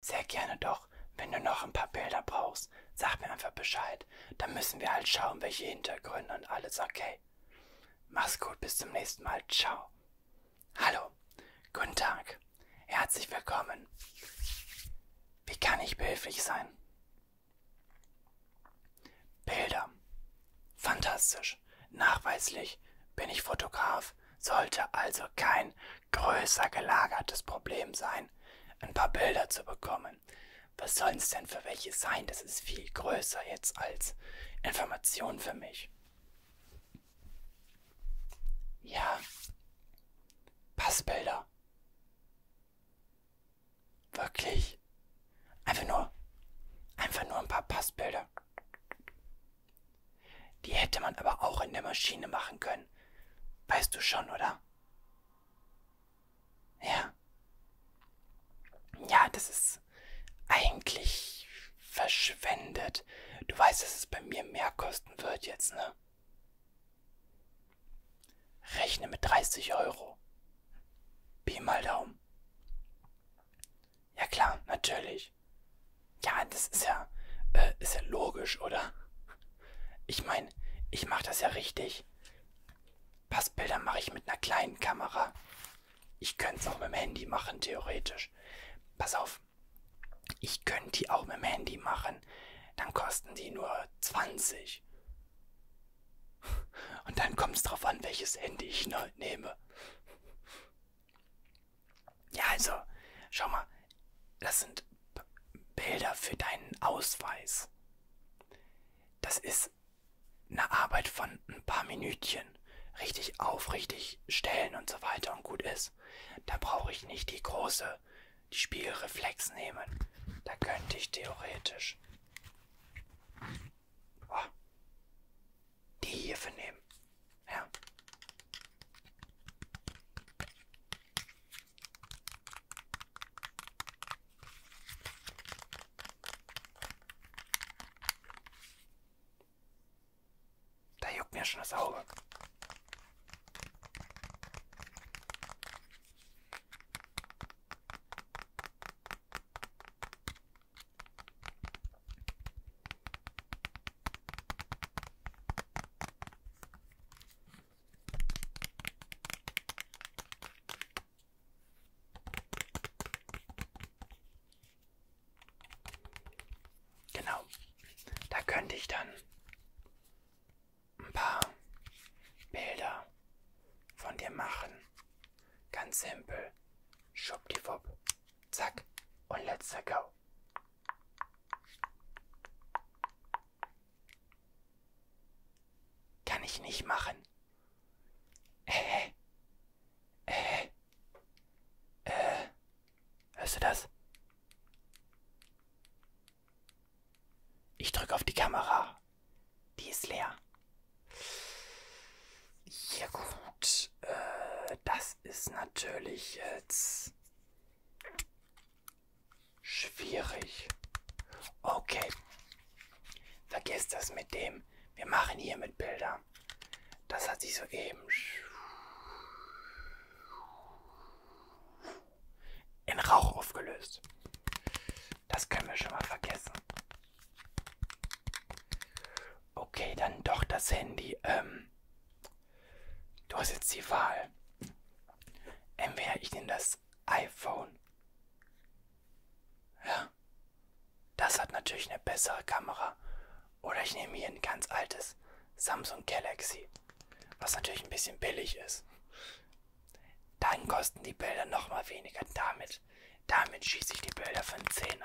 Sehr gerne doch. Wenn du noch ein paar Bilder brauchst, sag mir einfach Bescheid. Dann müssen wir halt schauen, welche Hintergründe und alles, okay? Mach's gut, bis zum nächsten Mal. Ciao. Hallo, guten Tag. Herzlich willkommen. Wie kann ich behilflich sein? Bilder. Fantastisch. Nachweislich bin ich Fotograf Schiff sollte also kein größer gelagertes Problem sein, ein paar Bilder zu bekommen. Was sollen es denn für welche sein? Das ist viel größer jetzt als Information für mich. Ja. Passbilder. Wirklich. Einfach nur. Einfach nur ein paar Passbilder. Die hätte man aber auch in der Maschine machen können. Weißt du schon, oder? Ja. Ja, das ist eigentlich verschwendet. Du weißt, dass es bei mir mehr kosten wird jetzt, ne? Rechne mit 30 Euro. Pi mal Daumen. Ja klar, natürlich nicht. Ja, das ist ja, äh, ist ja logisch, oder? Ich meine, ich mache das ja richtig. Passbilder mache ich mit einer kleinen Kamera. Ich könnte es auch mit dem Handy machen, theoretisch. Pass auf, ich könnte die auch mit dem Handy machen. Dann kosten die nur 20. Und dann kommt es drauf an, welches Handy ich ne, nehme. Ja, also, schau mal, das sind B Bilder für deinen Ausweis. Das ist eine Arbeit von ein paar Minütchen. Richtig aufrichtig stellen und so weiter und gut ist. Da brauche ich nicht die große, die Spiegelreflex nehmen. Da könnte ich theoretisch. Oh, die hierfür nehmen. Ja. Da juckt mir schon das Auge. Genau, da könnte ich dann ein paar Bilder von dir machen. Ganz simpel. Schuppdiwupp. Zack. Und let's go. Kann ich nicht machen. Äh. Äh. Äh. äh. Hörst du das? Ich drücke auf die Kamera. Die ist leer. Ja gut. Und äh, das ist natürlich jetzt schwierig. Okay. Vergiss das mit dem. Wir machen hier mit Bilder. Das hat sich soeben in Rauch aufgelöst. Das können wir schon mal vergessen. Okay, dann doch das Handy. Ähm, du hast jetzt die Wahl. Entweder ich nehme das iPhone. Ja. Das hat natürlich eine bessere Kamera. Oder ich nehme hier ein ganz altes Samsung Galaxy. Was natürlich ein bisschen billig ist. Dann kosten die Bilder nochmal weniger. Damit, damit schieße ich die Bilder für einen Zehner.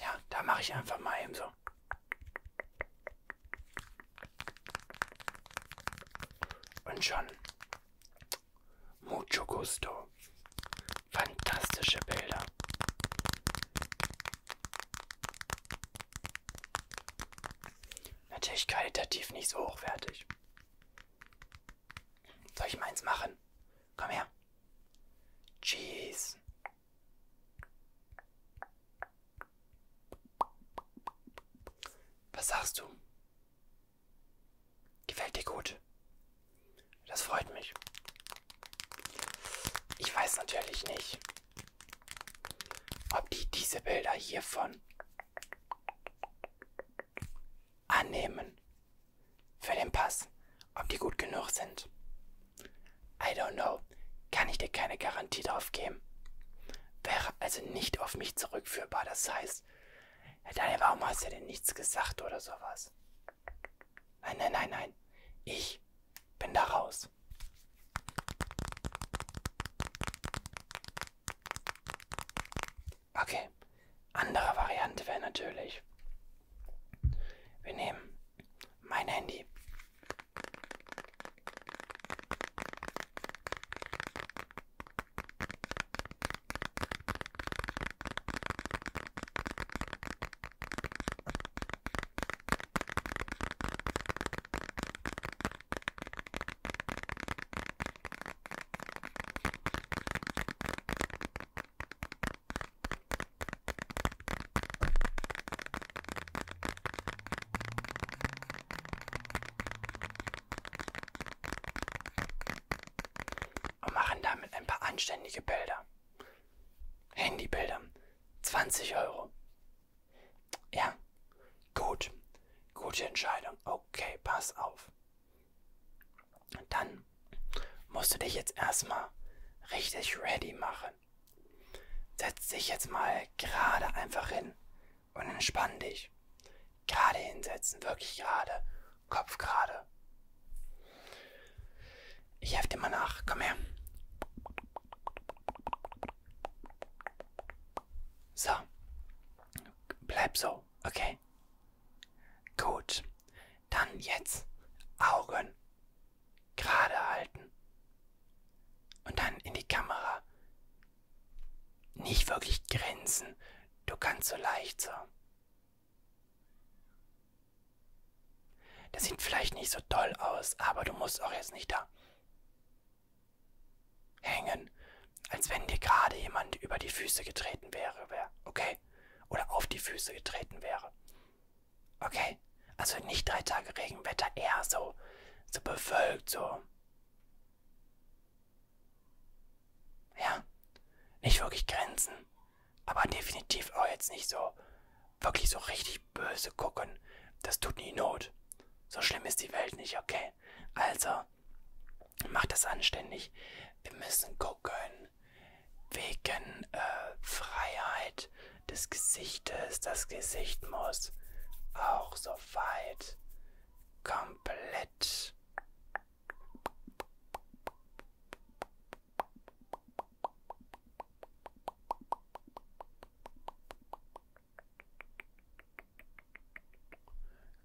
Ja, da mache ich einfach mal eben so. Und schon. Mucho gusto. Fantastische Bilder. Natürlich qualitativ nicht so hochwertig. Soll ich meins machen? Komm her. Cheese. Was sagst du? Gefällt dir gut? Das freut mich. Ich weiß natürlich nicht, ob die diese Bilder hiervon annehmen für den Pass, ob die gut genug sind. I don't know, kann ich dir keine Garantie drauf geben. Wäre also nicht auf mich zurückführbar, das heißt, Daniel, warum hast du denn nichts gesagt oder sowas? Nein, nein, nein, nein, ich bin da raus. Okay, andere Variante wäre natürlich, wir nehmen mein Handy. Und machen damit ein paar anständige Bilder. Handybilder. 20 Euro. Ja, gut. Gute Entscheidung. Okay, pass auf. Dann musst du dich jetzt erstmal richtig ready machen. Setz dich jetzt mal gerade einfach hin und entspann dich. Gerade hinsetzen, wirklich gerade. Kopf gerade. Ich helfe dir mal nach. Komm her. So. Bleib so, okay? Gut. Dann jetzt Augen gerade halten. Und dann in die Kamera. Nicht wirklich grinsen. Du kannst so leicht so. Das sieht vielleicht nicht so toll aus, aber du musst auch jetzt nicht da Hängen, als wenn dir gerade jemand über die Füße getreten wäre, wär, okay? Oder auf die Füße getreten wäre. Okay? Also nicht drei Tage Regenwetter, eher so, so bewölkt, so. Ja, nicht wirklich Grenzen, aber definitiv auch jetzt nicht so, wirklich so richtig böse gucken. Das tut nie Not. So schlimm ist die Welt nicht, okay? Also, macht das anständig. Wir müssen gucken. Wegen äh, Freiheit des Gesichtes. Das Gesicht muss auch so weit komplett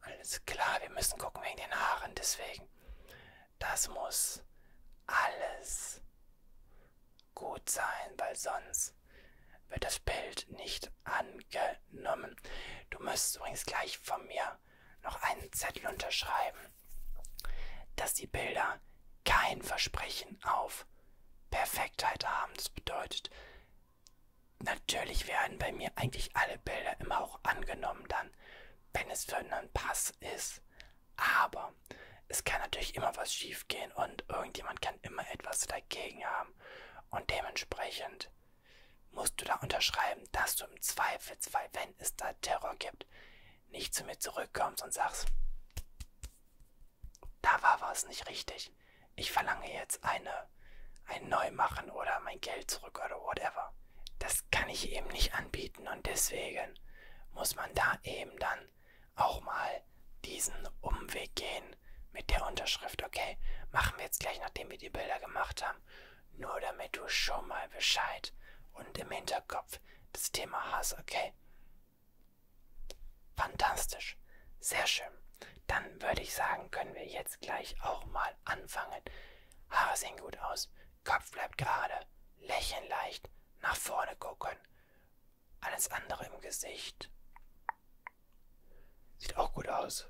alles klar, wir müssen gucken wegen den Haaren, deswegen. Das muss alles gut sein, weil sonst wird das Bild nicht angenommen. Du müsstest übrigens gleich von mir noch einen Zettel unterschreiben, dass die Bilder kein Versprechen auf Perfektheit haben. Das bedeutet, natürlich werden bei mir eigentlich alle Bilder immer auch angenommen dann, wenn es für einen Pass ist. Aber es kann natürlich immer was schief gehen und irgendjemand kann immer etwas dagegen haben. Und dementsprechend musst du da unterschreiben, dass du im Zweifelsfall, wenn es da Terror gibt, nicht zu mir zurückkommst und sagst, da war was nicht richtig. Ich verlange jetzt eine, ein Neumachen oder mein Geld zurück oder whatever. Das kann ich eben nicht anbieten und deswegen muss man da eben dann auch mal diesen Umweg gehen mit der Unterschrift. Okay, machen wir jetzt gleich, nachdem wir die Bilder gemacht haben. Nur damit du schon mal Bescheid und im Hinterkopf das Thema hast, okay? Fantastisch. Sehr schön. Dann würde ich sagen, können wir jetzt gleich auch mal anfangen. Haare sehen gut aus, Kopf bleibt gerade, lächeln leicht, nach vorne gucken. Alles andere im Gesicht. Sieht auch gut aus.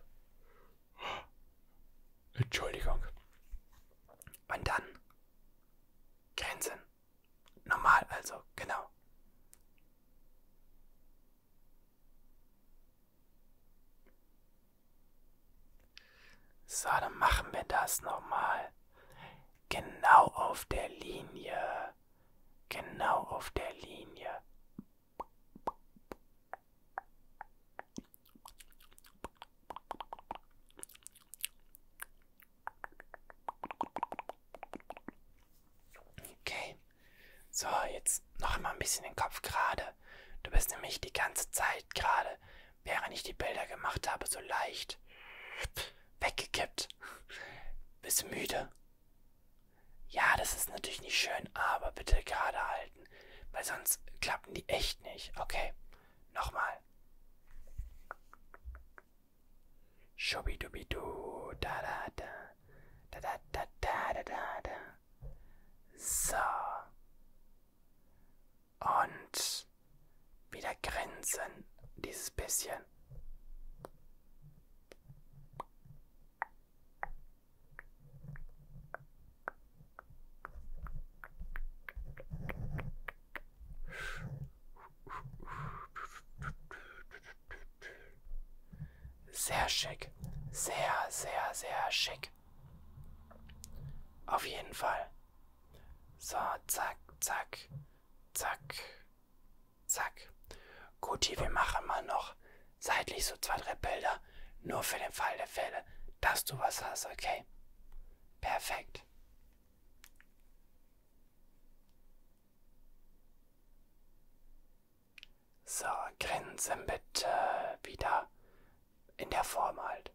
Entschuldigung. Und dann Grenzen. Normal also, genau. So, dann machen wir das nochmal. Genau auf der Linie. Genau auf der Linie. Okay. So, jetzt noch einmal ein bisschen den Kopf gerade. Du bist nämlich die ganze Zeit gerade, während ich die Bilder gemacht habe, so leicht weggekippt. Bist müde. Ja, das ist natürlich nicht schön, aber bitte gerade halten, weil sonst klappen die echt nicht. Okay, nochmal. Schubidubidu, da da da, da da da da da da da. So. Und wieder grinsen, dieses bisschen. Sehr schick. Sehr, sehr, sehr schick. Auf jeden Fall. So, zack, zack, zack, zack. Guti, wir machen mal noch seitlich so zwei, drei Bilder. Nur für den Fall der Fälle, dass du was hast, okay? Perfekt. So, grinsen bitte wieder in der Form halt.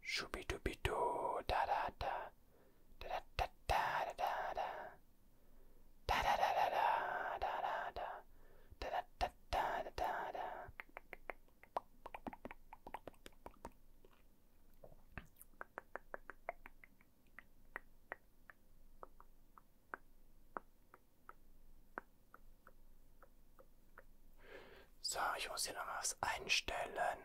Schubidubidu, da da da. Da da da da da da. Da da da da da da da da. Da da da da da da da. So, ich muss hier noch was einstellen.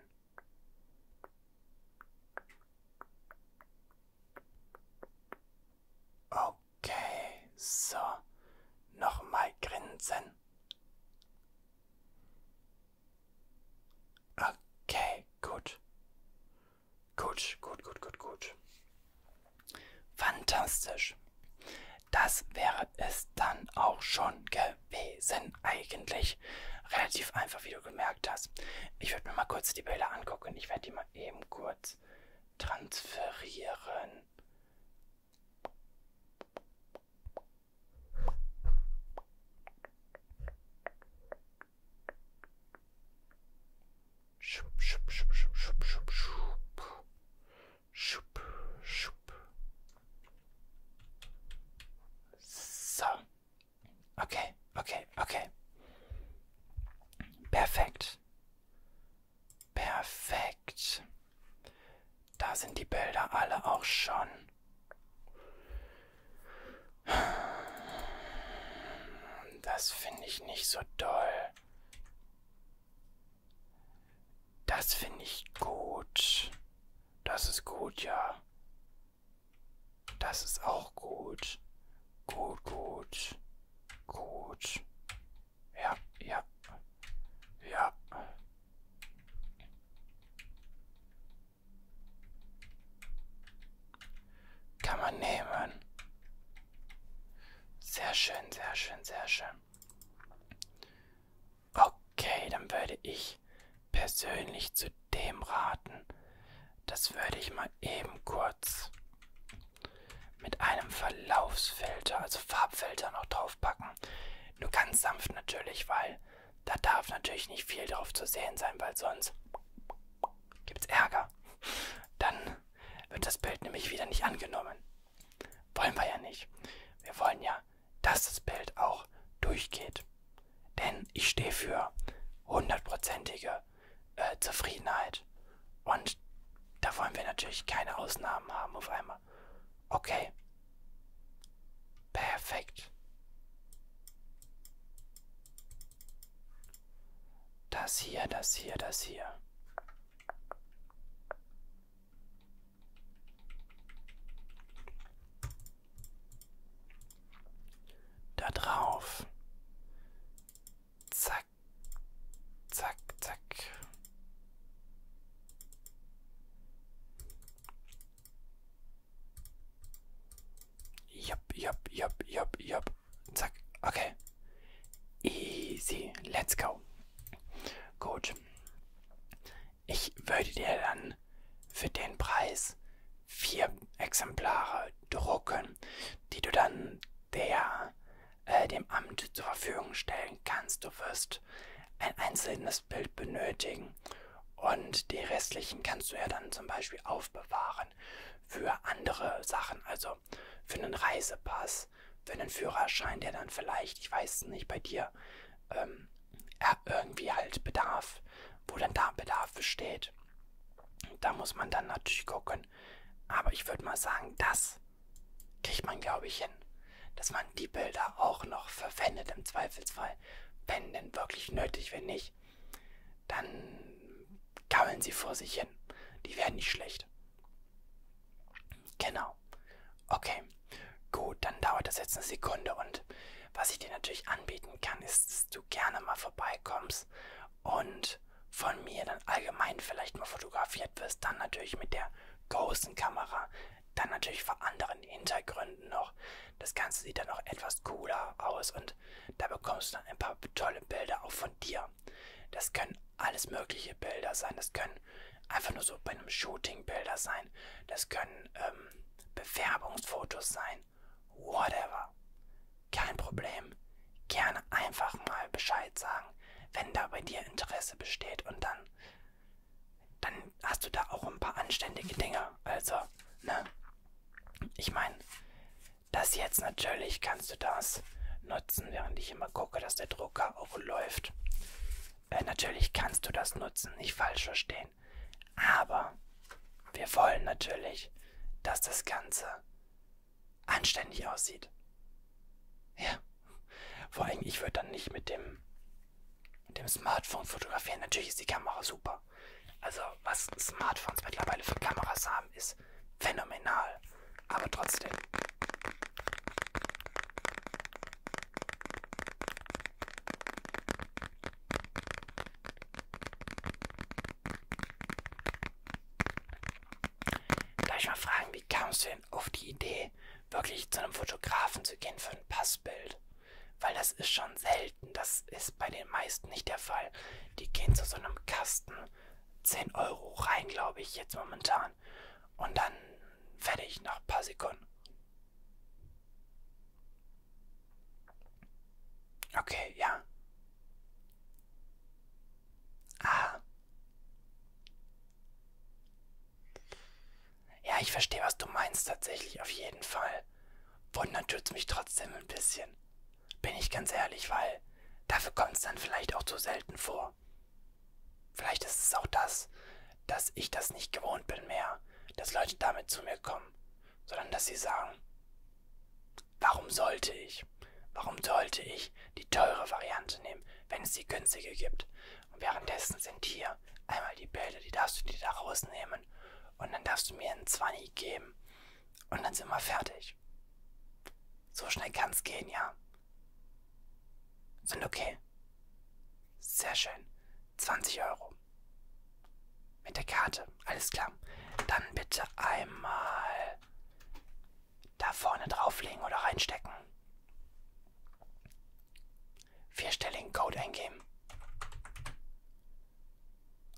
Okay, so. Nochmal grinsen. Okay, gut. Gut, gut, gut, gut, gut. Fantastisch. Das wäre es dann auch schon gewesen. Lebewesen eigentlich. Relativ einfach, wie du gemerkt hast. Ich würde mir mal kurz die Bilder angucken. Ich werde die mal eben kurz transferieren. Schub, schub, schub, schub, schub, schub, schub. Schub, schub. So. Okay, okay, okay. Perfekt. Perfekt. Da sind die Bilder alle auch schon. Das finde ich nicht so doll. Das finde ich gut. Das ist gut, ja. Das ist auch gut. Gut, gut. Gut. Ja, ja. Ja. Kann man nehmen. Sehr schön, sehr schön, sehr schön. Okay, dann würde ich persönlich zu dem raten. Das würde ich mal eben kurz mit einem Verlaufsfilter, also Farbfilter noch draufpacken. Nur ganz sanft natürlich, weil da darf natürlich nicht viel drauf zu sehen sein, weil sonst gibt's Ärger. Dann wird das Bild nämlich wieder nicht angenommen. Wollen wir ja nicht. Wir wollen ja dass das Bild auch durchgeht. Denn ich stehe für hundertprozentige äh, Zufriedenheit. Und da wollen wir natürlich keine Ausnahmen haben auf einmal. Okay. Perfekt. Das hier, das hier, das hier. Da drauf. Zack, zack, zack. Jupp, jupp, jupp, jupp, jupp. Zack, okay. Easy, let's go. Gut. Ich würde dir dann für den Preis vier Exemplare drucken, die du dann der, äh, dem Amt zur Verfügung stellen kannst. Du wirst ein einzelnes Bild benötigen und die restlichen kannst du ja dann zum Beispiel aufbewahren für andere Sachen, also für einen Reisepass ist für einen Führerschein, der dann vielleicht, ich weiß nicht, bei dir ähm, irgendwie halt Bedarf, wo dann da Bedarf besteht. Da muss man dann natürlich gucken. Aber ich würde mal sagen, das kriegt man, glaube ich, hin. Dass man die Bilder auch noch verwendet im Zweifelsfall. Wenn denn wirklich nötig, wenn nicht, dann gammeln sie vor sich hin. Die werden nicht schlecht. Genau. Okay. Gut, dann dauert das jetzt eine Sekunde und was ich dir natürlich anbieten kann, ist, dass du gerne mal vorbeikommst und von mir dann allgemein vielleicht mal fotografiert wirst, dann natürlich mit der großen Kamera, dann natürlich vor anderen Hintergründen noch. Das Ganze sieht dann noch etwas cooler aus und da bekommst du dann ein paar tolle Bilder auch von dir. Das können alles mögliche Bilder sein, das können einfach nur so bei einem Shooting Bilder sein. Das können ähm, Bewerbungsfotos sein. Whatever. Kein Problem. Gerne einfach mal Bescheid sagen, wenn da bei dir Interesse besteht und dann, dann hast du da auch ein paar anständige Dinge. Also, ne? Ich meine, das jetzt natürlich kannst du das nutzen, während ich immer gucke, dass der Drucker auch läuft. Äh, natürlich kannst du das nutzen, nicht falsch verstehen. Aber wir wollen natürlich, dass das Ganze anständig aussieht. Ja. Vor allem, ich würde dann nicht mit dem, mit dem Smartphone fotografieren. Natürlich ist die Kamera super. Also, was Smartphones mittlerweile für Kameras haben, ist phänomenal aber trotzdem. Gleich mal fragen, wie kamst du denn auf die Idee, wirklich zu einem Fotografen zu gehen für ein Passbild? Weil das ist schon selten, das ist bei den meisten nicht der Fall. Die gehen zu so einem Kasten 10 Euro rein, glaube ich, jetzt momentan fahren. Und dann fertig nach ein paar Sekunden. Okay, ja. Ah. Ja, ich verstehe, was du meinst tatsächlich, auf jeden Fall. Wundern tut's mich trotzdem ein bisschen. Bin ich ganz ehrlich, weil dafür kommt es dann vielleicht auch zu selten vor. Vielleicht ist es auch das, dass ich das nicht gewohnt bin mehr, dass Leute damit zu mir kommen, sondern dass sie sagen, warum sollte ich, warum sollte ich die teure Variante nehmen, wenn es die günstige gibt? Und währenddessen sind hier einmal die Bilder, die darfst du dir da rausnehmen und dann darfst du mir einen 20 geben und dann sind wir fertig. So schnell kann's gehen, ja. Sind okay. Sehr schön. 20 Euro. Mit der Karte. Alles klar. Dann bitte einmal da vorne drauflegen oder reinstecken. Vierstelligen Code eingeben.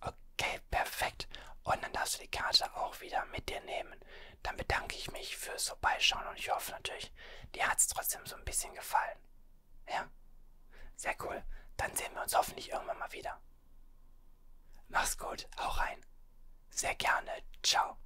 Okay, perfekt. Und dann darfst du die Karte auch wieder mit dir nehmen dann bedanke ich mich fürs Vorbeischauen und ich hoffe natürlich, dir hat es trotzdem so ein bisschen gefallen. Ja? Sehr cool. Dann sehen wir uns hoffentlich irgendwann mal wieder. Mach's gut, hau rein. Sehr gerne. Ciao.